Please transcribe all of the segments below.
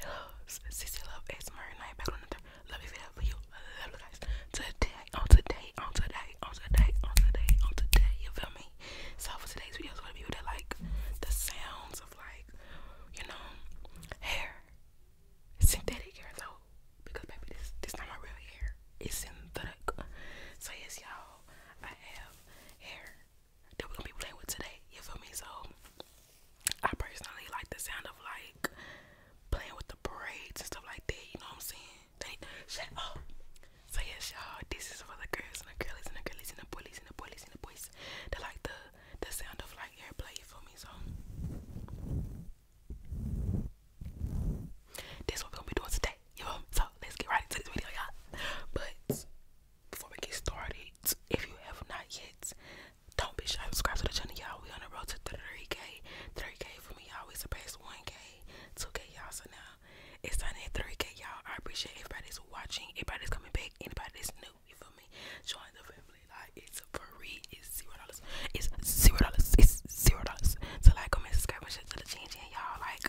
Hello, CC Love ASMR and I back on another lovely video for you. Love you guys. Today, on today, on today, on today, on today, on today, you feel me? So for today's video is to be able to like the sounds of like, you know, hair. synthetic hair though. Because maybe this this not my real hair. It's synthetic. So yes y'all I have hair that we're gonna be playing with today. You feel me? So I personally like the sound of like playing with the braids and stuff like that. You know what I'm saying? They, So yes, y'all. This is for the girls and the girlies and the girlies and the boys and the boys and the boys. They like the the sound of like airplay. You feel me? So. That's what we're gonna be doing today. You know? So let's get right into this video, y'all. But before we get started, if you have not yet, don't be shy. Subscribe to the channel, y'all. We on the road to 3K. 3K for me, y'all. We surpassed 1K, 2K, y'all. So now it's time at 3K, y'all. I appreciate everybody's watching, everybody's coming back, anybody that's new. You feel me? Join the family. Like it's free. It's zero dollars. It's zero dollars. It's zero dollars. So like, go and subscribe to the channel y'all like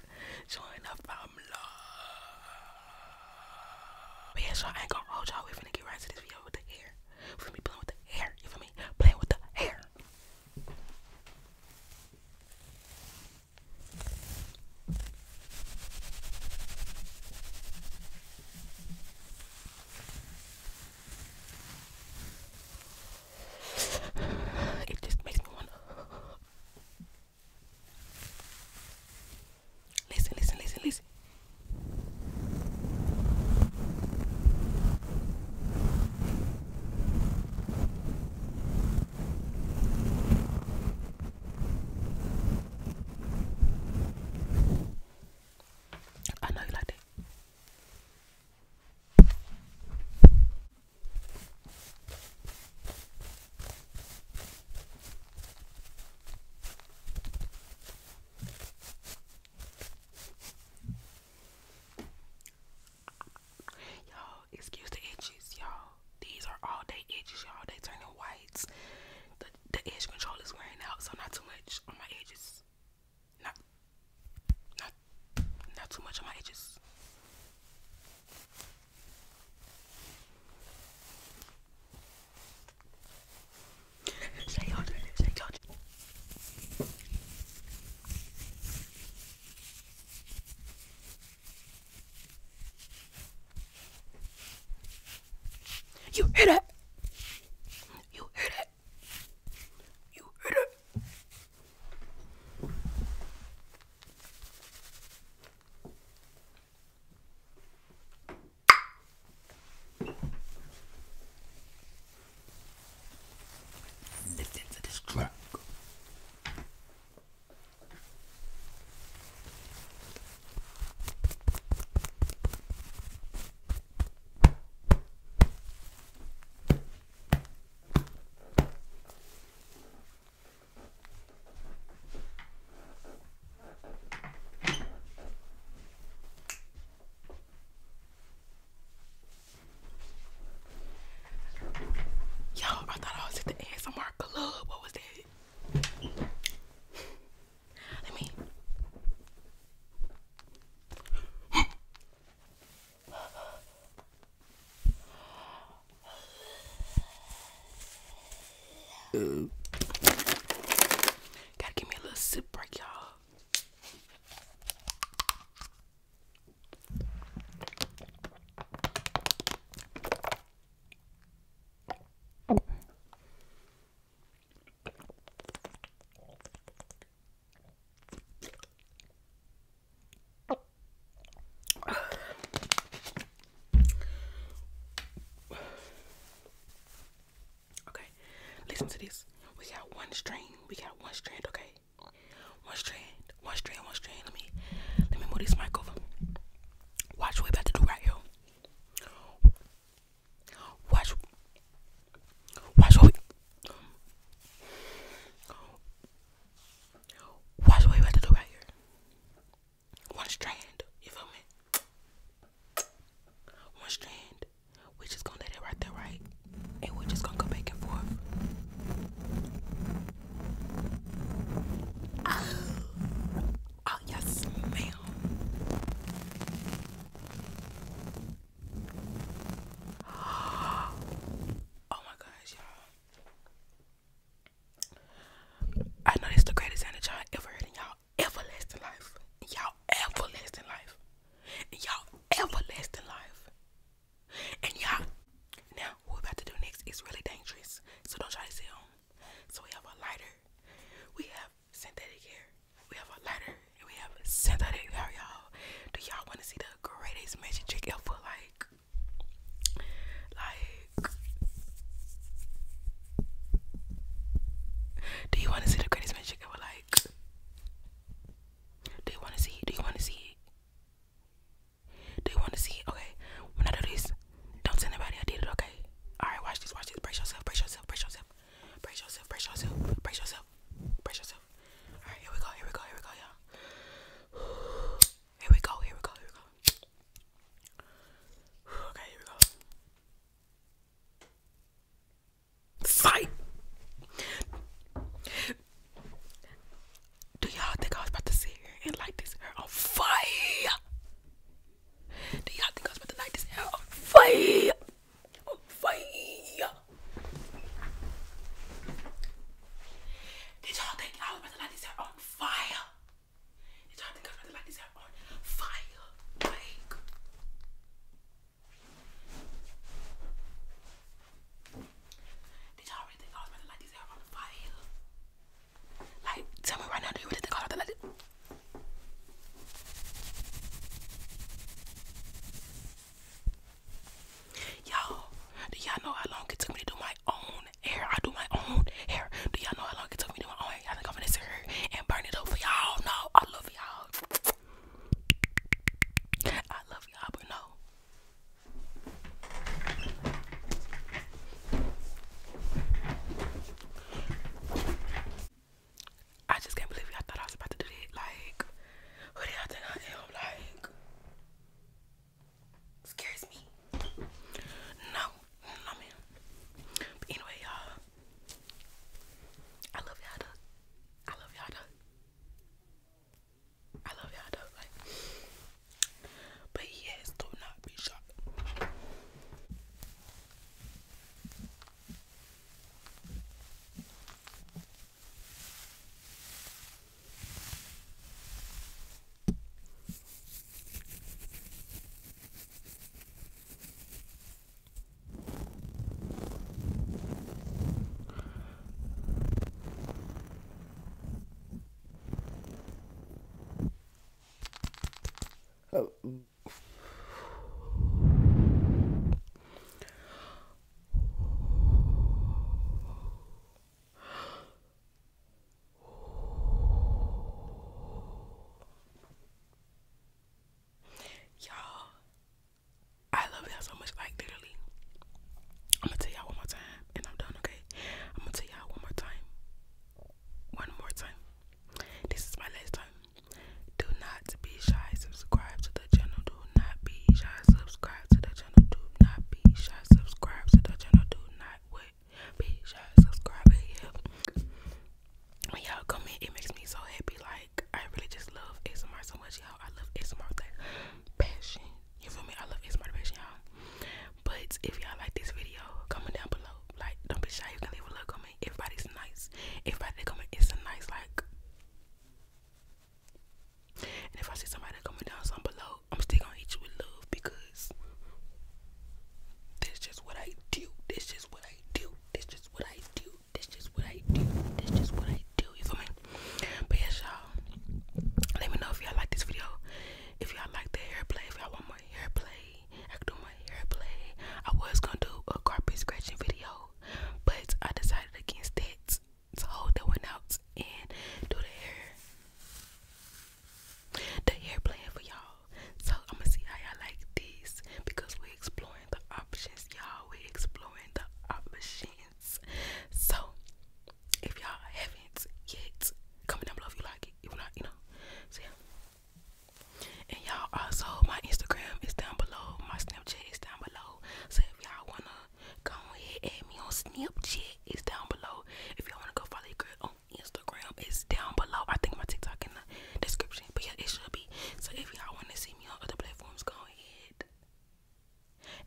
showing up from love. But yeah, so I ain't gonna hold y'all. we finna get right to this video with the hair. For me playing with the hair. You feel me? Playing with the hair. It just makes me wanna listen, listen, listen, listen. I know you like that. Y'all, excuse the itches, y'all. These are all day edges, y'all. They turning whites. The the edge control is wearing out, so not too much on my edges. Not, not, not too much on my edges. Say you Say you You hear that? You hear that? it. You hit it. Listen to this track. Yo, I thought I was at the ASMR club. What was that? Let me. Gotta give me a little sip break, y'all. Okay, listen to this. We got one string. We got one strand. Okay, one strand, one strand, one strand. Let me, let me move this mic over. Watch what we about to do right here. Why should should we why should we about to do right here? One strand, you feel me? One strand. We just gonna let it right there, right? And we're just gonna go back and forth. Ah, yes, ma'am. Oh my gosh, y'all. I know this the greatest sound that ever heard in y'all everlasting life. Y'all everlasting life. Y'all everlasting life. And y'all, now what we about to do next is really dangerous. So don't try to sit home. So we have a lighter. We have synthetic hair. We have a lighter and we have synthetic hair, y'all. Do y'all want to see the greatest magic trick ever? Like, like, do you want to see the greatest magic ever? Like, do you want to see? Do you want to see? Do you want to see? Okay, when I do this, don't tell anybody I did it, okay? Alright, watch this, watch this. Brace yourself, brace yourself, brace yourself. Brace yourself, brace yourself, brace yourself, brace yourself. Alright, here we go, here we go, here we go, y'all. Here we go, here we go, here we go. Okay, here we go. Fight! Do y'all think I was about to sit here and light this hair on fire? Do y'all think I was about to light this hair on fire? On fire. Did y'all think I was about to light this hair on fire? Did y'all think I was about to light this hair on fire? Did y'all really think I was about to light this hair on fire? Like, tell me right now, do you really think all of that? do y'all know how long it took me to do my own hair? I do my own hair. Do y'all know how long it took me to do my own hair? I think I'm gonna sit here and burn it over y'all. No, I love y'all. I love y'all, but no. I just can't believe it. I thought I was about to do it. Like, who do y'all think I am? Like, scares me. No, no, man. But anyway, y'all, I love y'all. I love y'all. I love y'all. Like, but yes, do not be shocked. Oh. Y'all, I love y'all so much. Like, literally, I'm gonna tell y'all one more time and I'm done, okay? I'm gonna tell y'all one more time. One more time. This is my last time. Do not be shy, subscribe to the channel. Do not be shy, subscribe to the channel. Do not be shy, subscribe to the channel. Do not wait. Be shy, subscribe. Yeah. When y'all comment, it makes me so happy. Like, I really just love ASMR so much, y'all. I love ASMR. Like, passion. You feel me? I love It's Motivation, y'all. But if y'all like this video, comment down below. Like, don't be shy. You can leave a little comment. Everybody's nice. Everybody that comment a nice, like. And if I see somebody coming down some below, I'm still gonna eat you with love because that's just what I do. That's just what I do. That's just what I do. That's just what I do. That's just what I do. You feel me? But yes, y'all. Let me know if y'all like this video. If y'all like the hair play, if y'all want more hair play, I can do my hair play. I was gonna do a carpet scratching video, but I decided against it. So hold that one out and do the hair, the hair play for y'all. So I'm gonna see how y'all like this because we're exploring the options, y'all. We're exploring the options. So if y'all haven't yet, comment down below if you like it. If not, you know. So yeah. And y'all also my Instagram is down below. My Snapchat is down below. So if y'all wanna go ahead and me on Snapchat, it's down below. If y'all wanna go follow your girl on Instagram, it's down below. I think my TikTok in the description. But yeah, it should be. So if y'all wanna see me on other platforms, go ahead.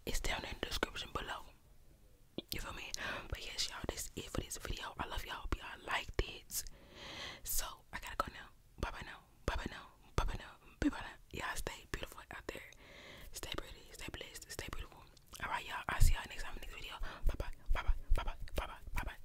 It's down in the description below. You feel me? But yes, y'all, that's it for this video. I love y'all. Hope y'all liked it. So I gotta go now. Bye bye now. Bye bye now. Bye bye now. Bye bye now. Y'all stay beautiful out there. Stay pretty. Stay blessed. Stay beautiful. Alright, y'all. i see y'all next time in the next video. Bye bye. Bye bye. Bye bye. Bye bye. Bye bye.